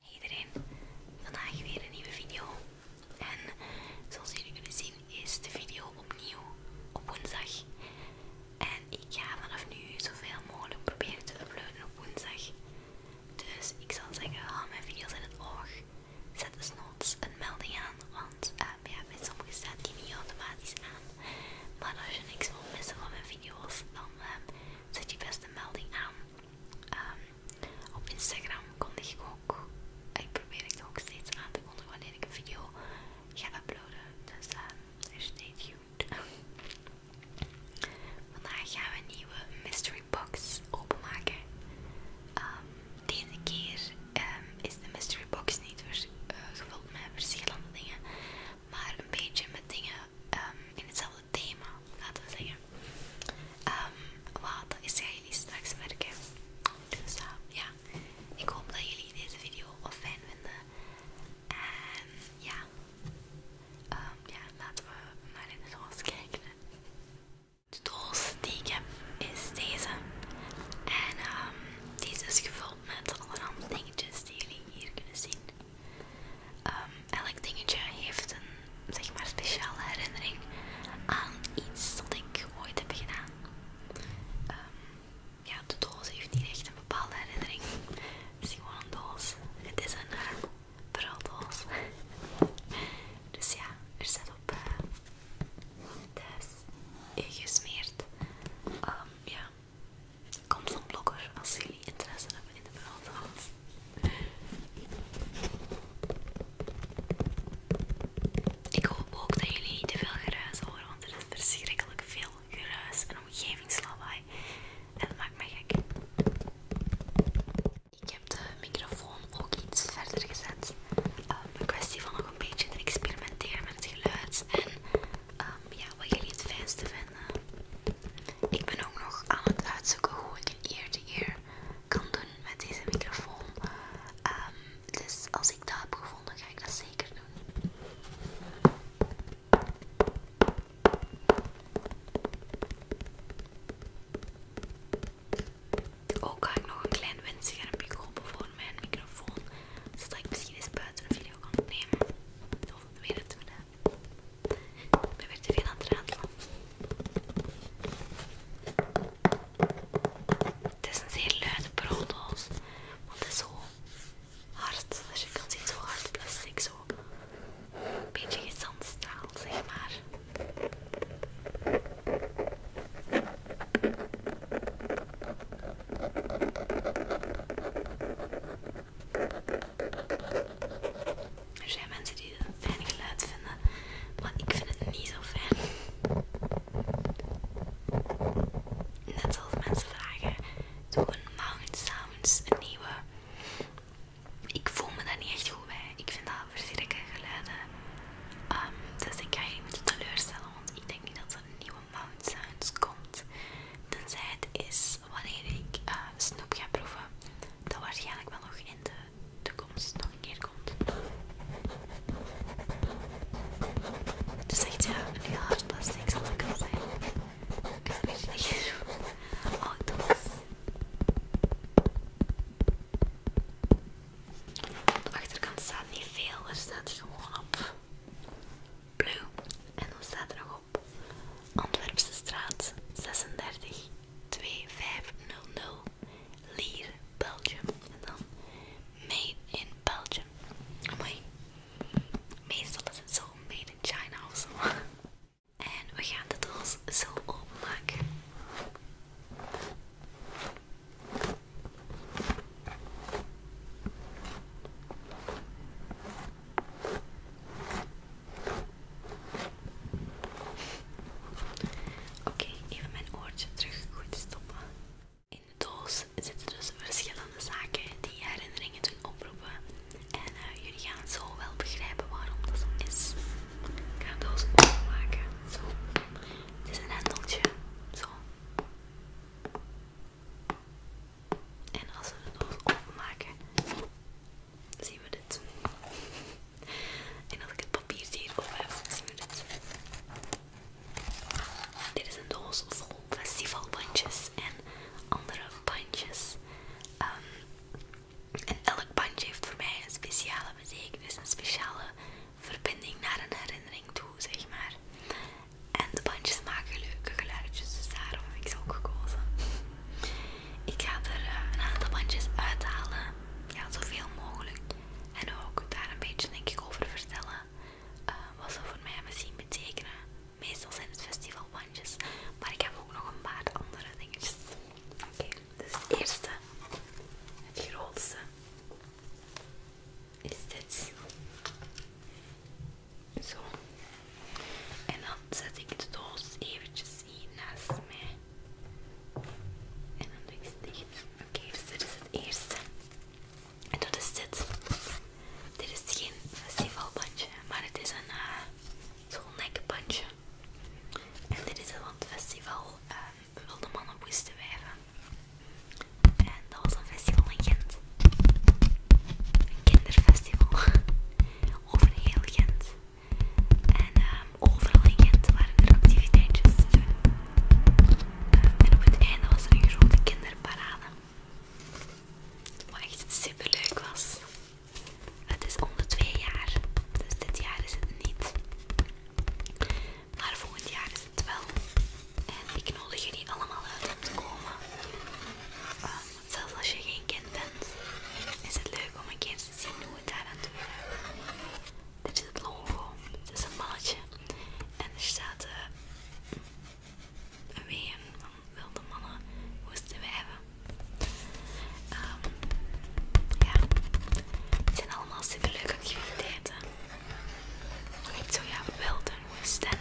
Hey iedereen, vandaag weer een nieuwe video. En zoals jullie kunnen zien is de video opnieuw op woensdag. En ik ga vanaf nu zoveel mogelijk proberen te uploaden op woensdag. Dus ik zal zeggen, haal mijn video's in het oog. Zet desnoods een melding aan, want uh, ja, met sommige staat die niet automatisch aan. Maar als je niks wilt missen van mijn video's, dan ehm, zet je best een melding aan. Ehm, op Instagram kondig ik ook, ik probeer het ook steeds aan te kondigen wanneer ik een video ga uploaden. Dus is ehm, dus stay tuned. Vandaag gaan we een nieuwe mystery box openmaken. Ehm, deze keer is de mystery box niet eh, gevuld met verschillende dingen, maar een beetje met dingen ehm, in hetzelfde thema, laten we zeggen. Ehm, wat is gaan jullie straks merken? Dus eh, ja, ik hoop dat jullie deze video al fijn vinden. En ehm, ja, laten we maar in de doos kijken. De doos die ik heb is deze. En deze is gevuld met allerhande dingetjes die jullie hier kunnen zien. Ehm, elk dingetje heeft een zeg maar, speciale herinnering aan iets dat ik ooit heb gedaan. Ehm, ja, de doos heeft niet echt een bepaalde herinnering. Het is gewoon een doos. Het is een uh, dus ja, er staat op uh, eh, thuis ingesmeerd. E um, ehm, ja, Komt van blogger als jullie interesse hebben in de bruilofts. Ik hoop ook dat jullie niet te veel geruis horen, want er is verschrikkelijk veel geruis en omgevingslawaai. En dat maakt mij gek. Ik heb de microfoon ook iets verder gezet. Ehm, een kwestie van nog een beetje te experimenteren met het geluid en Ehm, ja, wat jullie het fijnste vinden. Ik ben ook nog aan het uitzoeken hoe ik een ear keer kan doen met deze microfoon. Ehm, dus als ik dat heb gevonden, ga ik dat zeker doen. Ook ga ik nog een klein windschermpje kopen voor mijn microfoon, zodat ik misschien eens buiten een video kan nemen Of weet het we ik ben weer te veel aan het ratelen. Het is een zeer luide brooddoos, want het is zo hard. Als je kan zien, zo hard het plastic, zo een beetje gezandstaal, zeg maar. Er zijn mensen die het een fijn geluid vinden, maar ik vind het niet zo fijn. Net zoals mensen vragen, doe een Mount Sounds, een nieuwe. Ik voel me daar niet echt goed bij. Ik vind dat verschrikkelijke geluiden. Ehm, dus ik ga je niet teleurstellen, want ik denk niet dat er een nieuwe Mount Sounds komt. Tenzij het is wanneer ik eh, snoep ga proeven, dat waarschijnlijk wel nog in de toekomst nog een keer komt. Het is echt ja, een heel hard plastic zal ik al zijn. Ik weet het niet. Oh, toch. de achterkant staat niet veel, er staat gewoon op blue en dan staat er nog op Antwerpse straat 36 2500 Leer Belgium. En dan Made in Belgium. Mooi. Meestal is het zo Made in China of zo. En we gaan de doos zo openmaken. Oké, even mijn oortje terug goed stoppen. In de doos zitten dus verschillende zaken die herinneringen doen oproepen. En eh, jullie gaan zo wel begrijpen waarom dat zo is. Ik ga de doos openmaken. Zo. Het is een hendeltje. Zo. En als we de doos openmaken, zien we dit. En als ik het papier hier op heb, zien we dit. Dit is een doos vol festivalbandjes en andere bandjes. Ehm, en elk bandje heeft voor mij een speciale betekenis, een speciale verbinding naar een herinnering toe, zeg maar. En de bandjes maken leuke geluidjes, dus daarom heb ik ze ook gekozen. Ik ga er eh, een aantal bandjes uithalen, ja, zoveel mogelijk. En ook daar een beetje denk ik over vertellen eh, wat ze voor mij misschien zien betekenen. Meestal zijn het festivalbandjes, maar ik heb ook nog een paar andere dingetjes. Oké, dus het eerste, het grootste, is dit. Zo. En dan zet ik de doos eventjes hier naast mij. En dan doe ik ze Oké, dus dit is het eerste. En dat is dit. Dit is geen festivalbandje, maar het is een uh, zo'n nekbandje. En dit is van het festival ehm, Wilde Mannen Woeste Wijven. En dat was een festival in Een kinderfestival over heel Gent. En ehm, overal in Gent waren er activiteitjes en op het einde was er een grote kinderparade. Wat echt super leuk was. Het is onder twee jaar, dus dit jaar is het niet. Maar volgend jaar is het wel. En ik nodig jullie allemaal uit om te komen. Ehm, Zelfs als je geen kind bent, is het leuk om een kind te zien hoe het daar aan toe gaat. Dit is het logo. Het is een mannetje. En er staat eh, een ween van wilde mannen moesten we hebben. Um, ja, het zijn allemaal super leuke activiteiten. Ik zo ja, wilde moesten.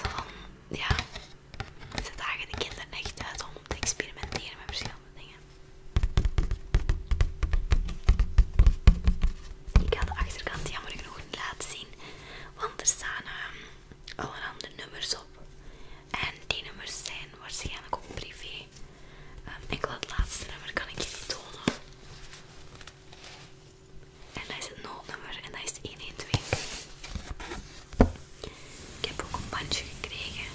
Van ja, ze dagen de kinderen echt uit om te experimenteren met verschillende dingen. Ik ga de achterkant jammer genoeg niet laten zien, want er staan ehm, allerhande nummers op. En die nummers zijn waarschijnlijk ook privé. Ehm, ik enkel het laatste nummer kan ik niet tonen. En dat is het noodnummer en dat is 112. Ik heb ook een bandje gekregen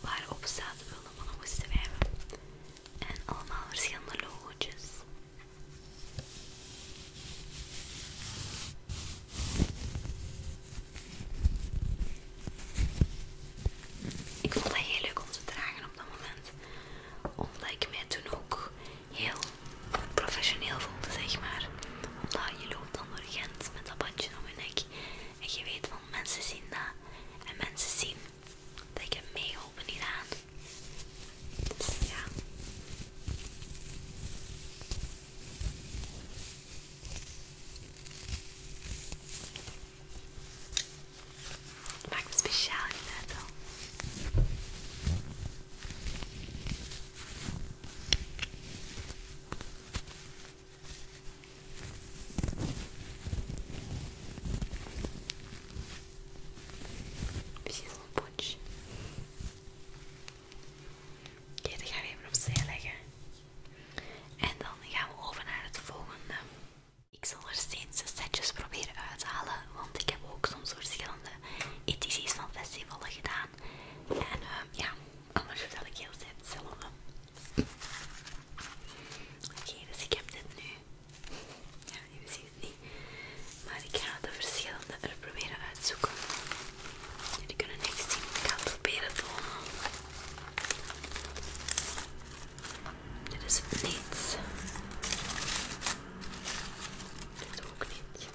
waarop staat we moesten schrijven. En allemaal verschillende logo's. Ik vond dat heel leuk om te dragen op dat moment. Omdat ik mij toen ook heel professioneel voelde, zeg maar. Omdat nou, je loopt dan door Gent met dat bandje om je nek. En je weet van mensen zien dat. En mensen zien dat ik mee meegeholpen hieraan. Dus ja. Het maakt me speciaal Misschien wel een potje. Oké, dat gaan we even opzij leggen. En dan gaan we over naar het volgende. Ik zal er steeds de setjes proberen uit halen, want ik heb ook soms verschillende edities van festivalen gedaan. En ehm, ja, anders vertel ik heel zet hetzelfde. Oké, dus ik heb dit nu. Ja, jullie zien het niet. Maar ik ga de verschillende er proberen uitzoeken. Jullie kunnen niks zien. Ik ga het proberen tonen. Dit is niets. Dit ook niet.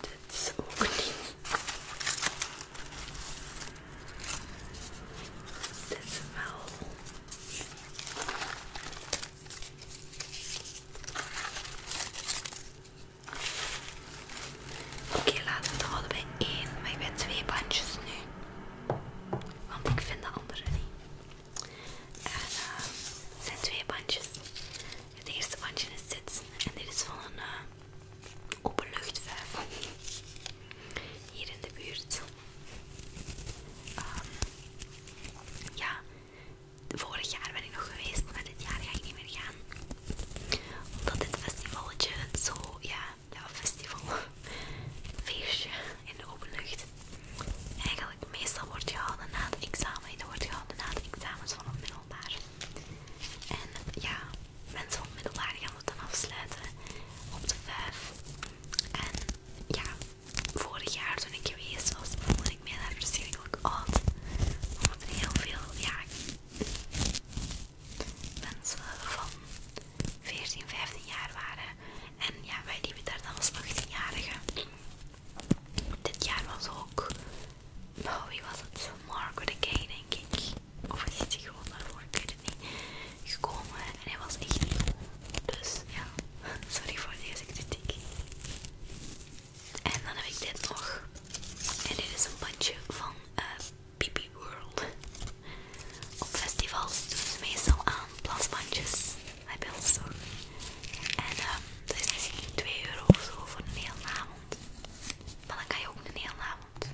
Dit is ook niet. Dit wel. Oké, laten we het houden bij één, maar ik ben twee bandjes nu. Want ik vind de andere niet. En eh, zijn twee bandjes. Het eerste bandje is dit. En dit is van een openluchtfeest openluchtvuif. Hier in de buurt. Ehm, ja, vorig jaar ben ik nog geweest, maar dit jaar ga ik niet meer gaan. Omdat dit festivaletje zo, ja, ja festival, feestje in de openlucht, eigenlijk meestal wordt gehouden na het examen. Dat wordt gehaald na het examens van het middelbaar. En ja, mensen van het middelbaar gaan het dan afsluiten op de vijf. En ja, vorig jaar toen ik geweest was, voelde ik mij daar verschrikkelijk oud. Omdat er heel veel, ja, mensen van 14, 15 jaar waren. En ja, wij liepen daar dan als 18-jarigen. Dit jaar was ook. Oh, wie was het? Margaret de Gay, denk ik. Of is hij gewoon daarvoor? Ik weet het niet. Gekomen en hij was echt niet Dus ja, sorry voor deze kritiek. En dan heb ik dit nog. En dit is een bandje van eh, Pipi World. Op festivals doen ze meestal aan plasbandjes zo En um, ehm, dat is misschien 2 euro of zo voor een hele avond. Maar dan kan je ook een hele avond um,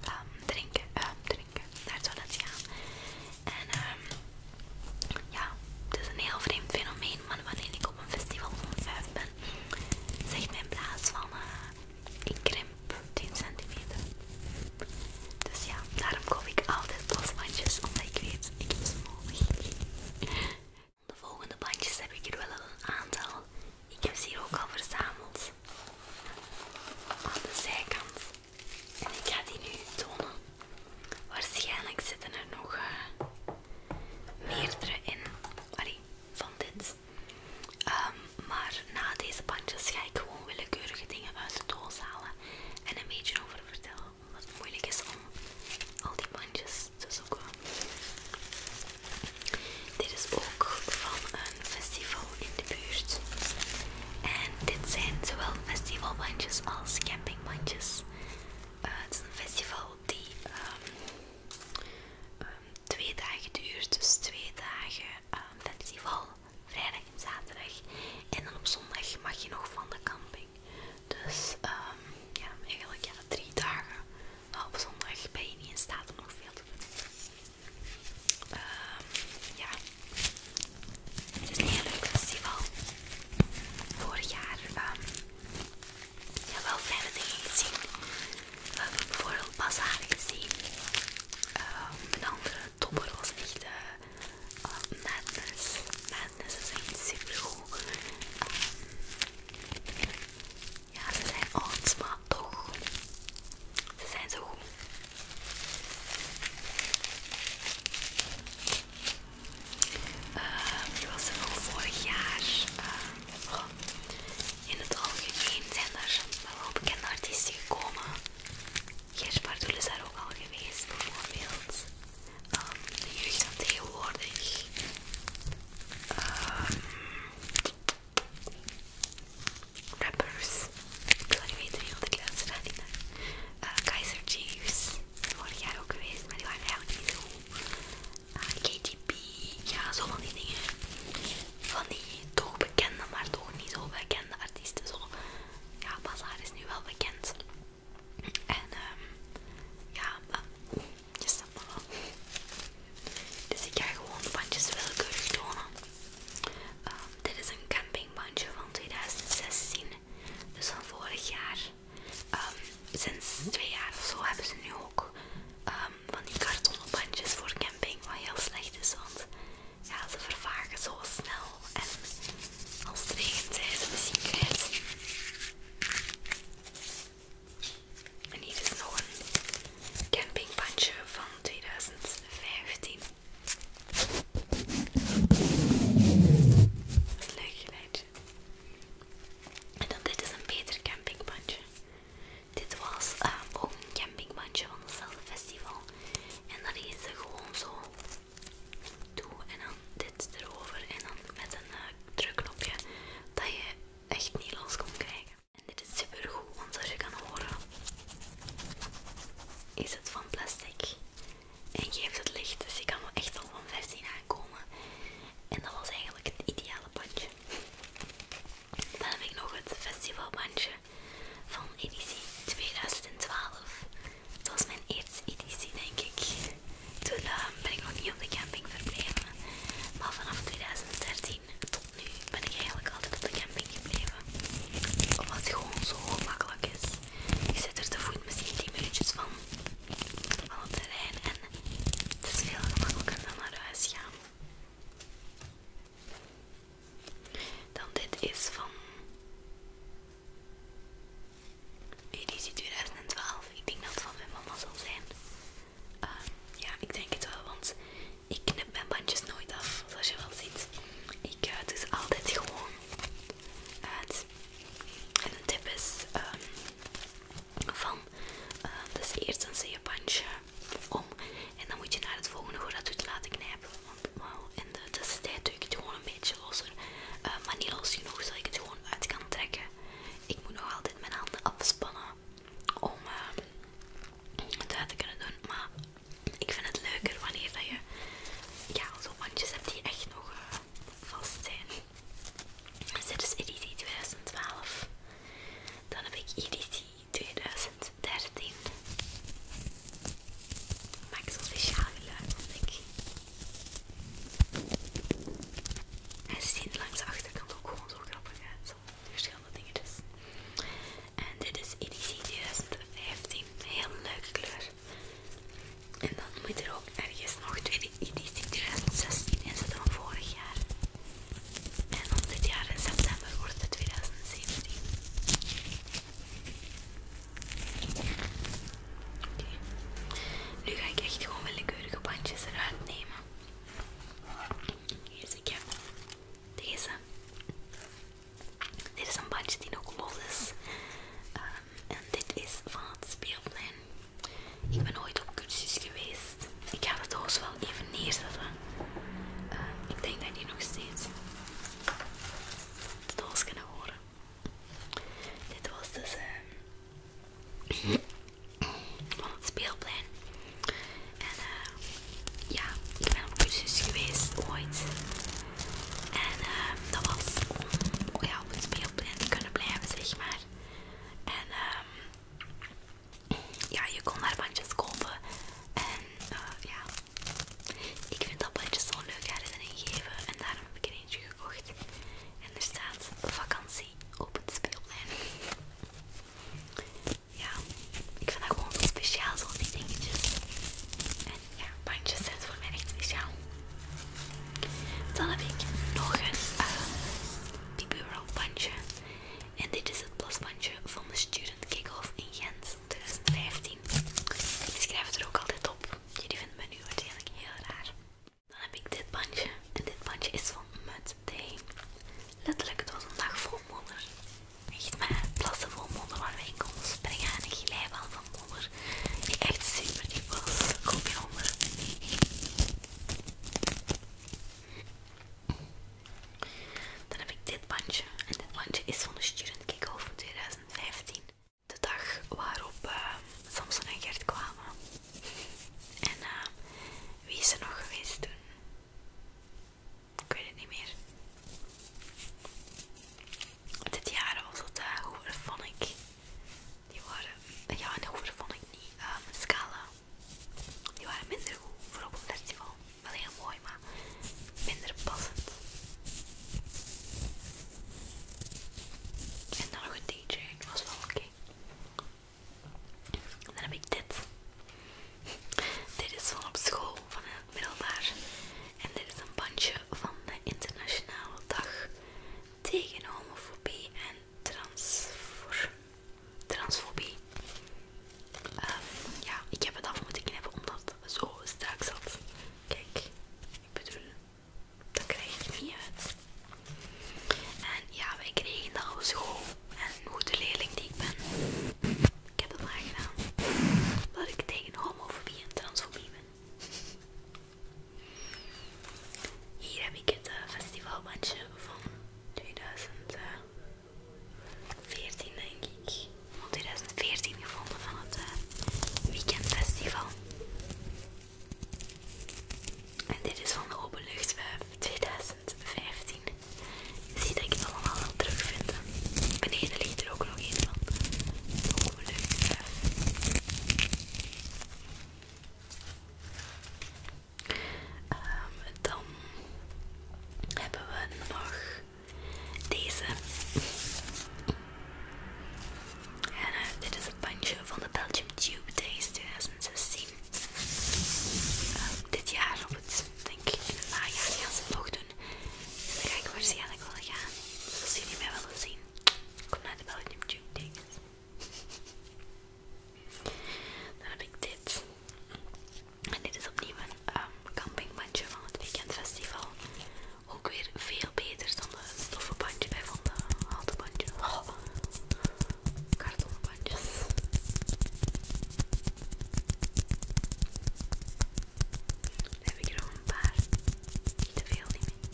ehm, drinken, uh, drinken, naar het toilet gaan. En um, ja, het is een heel vreemd fenomeen, maar wanneer ik op een festival van 5 ben, zegt mijn blaas van eh, ik krimp 10 centimeter. Dus ja, daarom koop ik altijd losbandjes, omdat ik weet, ik heb ze nodig. De volgende bandjes heb ik er wel een aantal. Ik heb ze hier ook al verzameld. Aan de zijkant. En ik ga die nu tonen. Waarschijnlijk zitten er nog eh, meerdere in. Allee, van dit. Ehm, maar na deze bandjes ga ik gewoon willekeurige dingen uit de doos halen en een beetje over vertellen. Omdat moeilijk is om al die bandjes dus Dit is ook van een festival in de buurt. En dit zijn zowel festivalbandjes als campingbandjes. Eh, het is een festival die ehm, ehm, twee dagen duurt, dus twee dagen ehm, festival, vrijdag en zaterdag. En dan op zondag mag je nog van de camping. Dus ehm, ja, eigenlijk ja, drie dagen uh, op zondag ben je niet in staat om nog veel te doen. Ehm, ja, het is een heel leuk festival. Vorig jaar um, ja, wel fijne dingen gezien. We hebben bijvoorbeeld Bazaar gezien. De andere topper was echt de eh, Madness. Dus ze zijn super goed. Ehm, ja, ze zijn oud, maar toch. Ze zijn zo goed. Uh, was er nog vorig jaar. Ehm, in het algemeen zijn er wel bekende artiesten gekomen. Gersh is daar ook al geweest, bijvoorbeeld um, de jeugd tegenwoordig. Ehm, rappers. Ik wil niet weten wie ik de daar eh, Kaiser Chiefs. Vorig jaar ook geweest, maar die waren eigenlijk niet zo eh, KTP, Ja, zo van die dingen. Van die toch bekende, maar toch niet zo bekende artiesten. Zo. Ja, Bazaar is nu wel bekend. En ehm ja, uh, je snapt Dus ik ga gewoon bandjes willekeurig tonen. Ehm, dit is een campingbandje van 2016, dus van vorig jaar. Ehm, sinds twee jaar of zo hebben ze nu ook ehm, van die kartonnen bandjes voor camping, wat heel slecht is, want ja, ze vervagen zo snel en als het regent zijn ze misschien kwijt. En hier is nog een campingbandje van 2015. Dat is leuk geluidje. En dan dit is een beter campingbandje. Dit was ehm, ook een campingbandje van hetzelfde festival. En dan is gewoon zo toe. En dan erover en dan met een eh, drukknopje dat je echt niet los kon krijgen. En dit is super goed, want als je kan horen, is het van plastic en geeft het licht. Dus je kan wel echt al van versie nakomen. aankomen. En dat was eigenlijk het ideale bandje. Dan heb ik nog het festivalbandje van editie 2012. Het was mijn mijn eerste editie, denk ik. Toen eh, ben ik nog niet op de camping verbleven. Maar vanaf 2013 tot nu ben ik eigenlijk altijd op de camping gebleven. Omdat het gewoon zo gemakkelijk is. ik zit er te voet misschien 10 minuutjes van, van het terrein en het is veel gemakkelijker dan naar huis gaan. Dan dit is van Hey, die 2012. Ik denk dat het van mijn mama zal zijn. Ehm, ja, ik denk het wel, want ik knip mijn bandjes nooit af, zoals je wel ziet. Ik uh, altijd gewoon uit. En een tip is ehm, van, ehm, dus eerst een je bandje om en dan moet je naar het volgende hoe dat doet laten knijpen. Want in de tussentijd doe ik het gewoon een beetje losser, maar niet los genoeg zodat ik het gewoon uit kan trekken. Ik moet nog altijd mijn handen afspannen om eh, het uit te kunnen doen. Maar ik vind het leuker wanneer dat je ja, zo bandjes hebt die echt nog eh, vast zijn. Dus dit is EDC 2012. Dan heb ik editie 2013. Maak zo'n speciaal geluid, want ik hij ziet langs de achterkant ook gewoon zo grappig uit. verschillende dingetjes. En dit is EDC 2015. Heel leuke kleur. En dan moet er ook ergens nog tweede 2016 in zitten van vorig jaar. En dan dit jaar in september wordt het 2017. Oké. Nu ga ik echt gewoon willekeurige bandjes eruit nemen. Hier zie ik deze. Dit is een bandje die nog los is. Ehm, en dit is van het speelplein. Ik ben ooit op cursus geweest. Ik ga dat doos wel even neerzetten. Ehm, ik denk dat die nog steeds de doos kunnen horen. Dit was dus een ehm, van het speelplein. En eh, ja, ik ben op cursus geweest ooit. En ehm, dat was om oh ja, op het speelplein kunnen blijven, zeg maar. En ehm, ja, je kon daar bandjes kopen. En eh, ja, ik vind dat bandjes leuk uit herinnering geven. En daarom heb ik en er staat vakantie op het speelplein. Ja, ik vind dat gewoon speciaal, zo'n die dingetjes. En ja, bandjes zijn voor mij echt speciaal. Dan heb ik nog een eh, die bureau bandje. En dit is het plasbandje van de Student off in Gent 2015. Ik schrijf het er ook altijd op. Jullie vinden me nu waarschijnlijk heel raar. Dan heb ik dit bandje. En dit bandje is van Mud Day. Letterlijk, het was een dag vol Echt maar plassen vol modder waar ik in springen. En ik glij wel van modder. Die echt super diep was. Koop je onder. Dan heb ik dit bandje. En dit bandje is van de Student van 2015. De dag waarop ehm, Samson en Gert kwamen. En ehm, wie is er nog geweest toen? Ik weet het niet meer. Dit jaar was het uh, ik. Die waren, ja, en ik niet, um, Scala. Die waren minder goed voor op een festival. Wel heel mooi, maar minder passend. En dan nog een DJ, was wel oké. En dan heb ik dit. Dit is van op school, van het middelbaar. En dit is een bandje van de Internationale Dag tegen homofobie en transfobie. Ehm, ja, ik heb het af moeten knippen omdat het zo strak zat. Kijk, ik bedoel, dat krijg ik niet uit. En ja, wij kregen dat op zo En een goede leerling die ik ben, ik heb dat maar Dat ik tegen homofobie en transfobie ben. Hier heb ik het eh, festivalbandje van 2014 denk ik. Van 2014 gevonden van het eh, weekend festival. En dit is van de Luchtwerf 2015. Zie dat ik het allemaal wel terugvind. Beneden ligt er ook nog een van. De Open Luchtwerf. Ehm, dan hebben we nog deze. En eh, dit is het bandje van de Belgium Tube Days 2016. Eh, dit jaar, op het, denk ik, in het najaar gaan ze doen. Dus daar ga ik waarschijnlijk wel gaan. Dus als jullie mij willen zien, kom naar de Belgium Tube Days. Dan heb ik dit. En dit is opnieuw een um, ehm, campingbandje van het weekendfestival. Ook weer veel beter van eh, de bij van de houten bandje. Oh, heb ik er al een paar. Niet te veel, niet meer.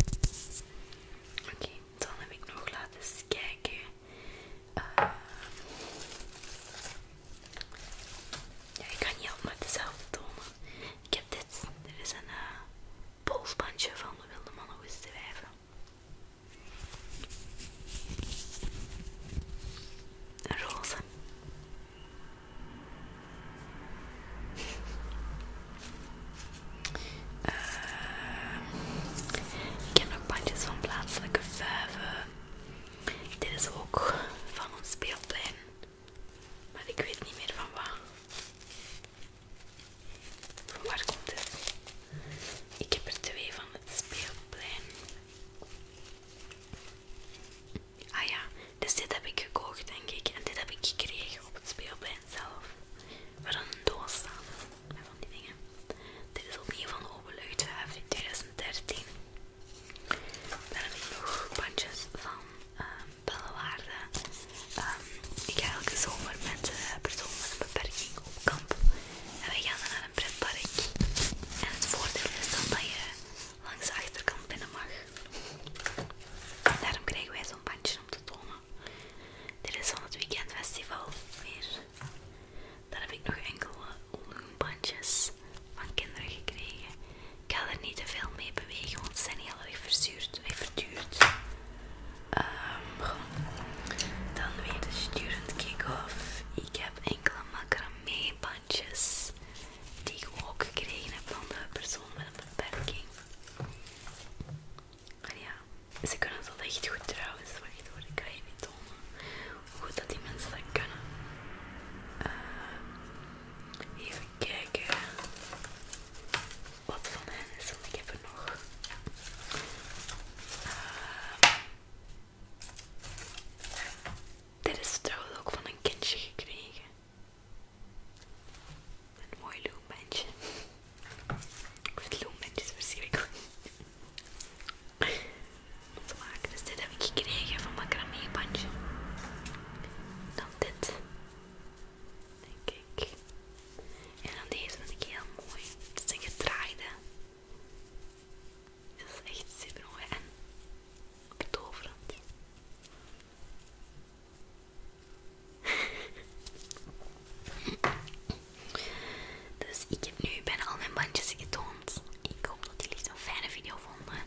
Oké, dan heb ik nog laten eens kijken. Eh, ja, ik kan niet altijd dezelfde tonen. Ik heb dit. Dit is een eh, polsbandje van de wilde mannen wisten wijven. Een eh, ik heb nog bandjes van plaatselijke vuiven. Dit is ook van ons speelplein. Maar ik weet niet meer van wat waar komt dit? Ik heb er twee van het speelplein. Ah ja, dus dit heb ik gekocht denk ik. En dit heb ik gekregen op het speelplein zelf. Waar dan een doos staan. Van die dingen. Dit is opnieuw van Openluchthaven in 2013. Daar heb ik nog bandjes van uh, ehm, Bellewaarde. Ehm, ik ga elke zomer met eh, personen met een beperking op kamp. En wij gaan dan naar een pretpark. En het voordeel is dan dat je langs de achterkant binnen mag. daarom krijgen wij zo'n bandje om te tonen. Dit is van het weekendfestival weer. Daar heb ik nog enkele eh, loonbandjes van kinderen gekregen. Ik ga er niet te veel mee bewegen, want ze zijn heel erg verzuurd, verduurd. Ehm, dan weer de student kick-off. Ik heb enkele macramé bandjes die ik ook gekregen heb van de persoon met een beperking. Maar ja, ze kunnen dat echt goed trouwens. Wacht hoor, ik kan je niet tonen hoe goed dat die mensen dat kunnen. Ehm, even kijken wat van hen is, want ik heb er nog. Ehm, dit is trouwens ook van een kindje gekregen. Een mooi loembandje. Ik vind loombandjes verschrikkelijk. Om te maken. Dus dit heb ik gekregen van mijn bandje. Dan dit. Denk ik. En dan deze vind ik heel mooi. Het is een gedraaide. is echt super mooi en betoverend. dus ik heb nu bijna al mijn bandjes getoond. Ik hoop dat jullie het een fijne video vonden.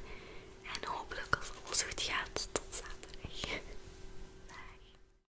En hopelijk als alles goed gaat, tot zaterdag. Dag.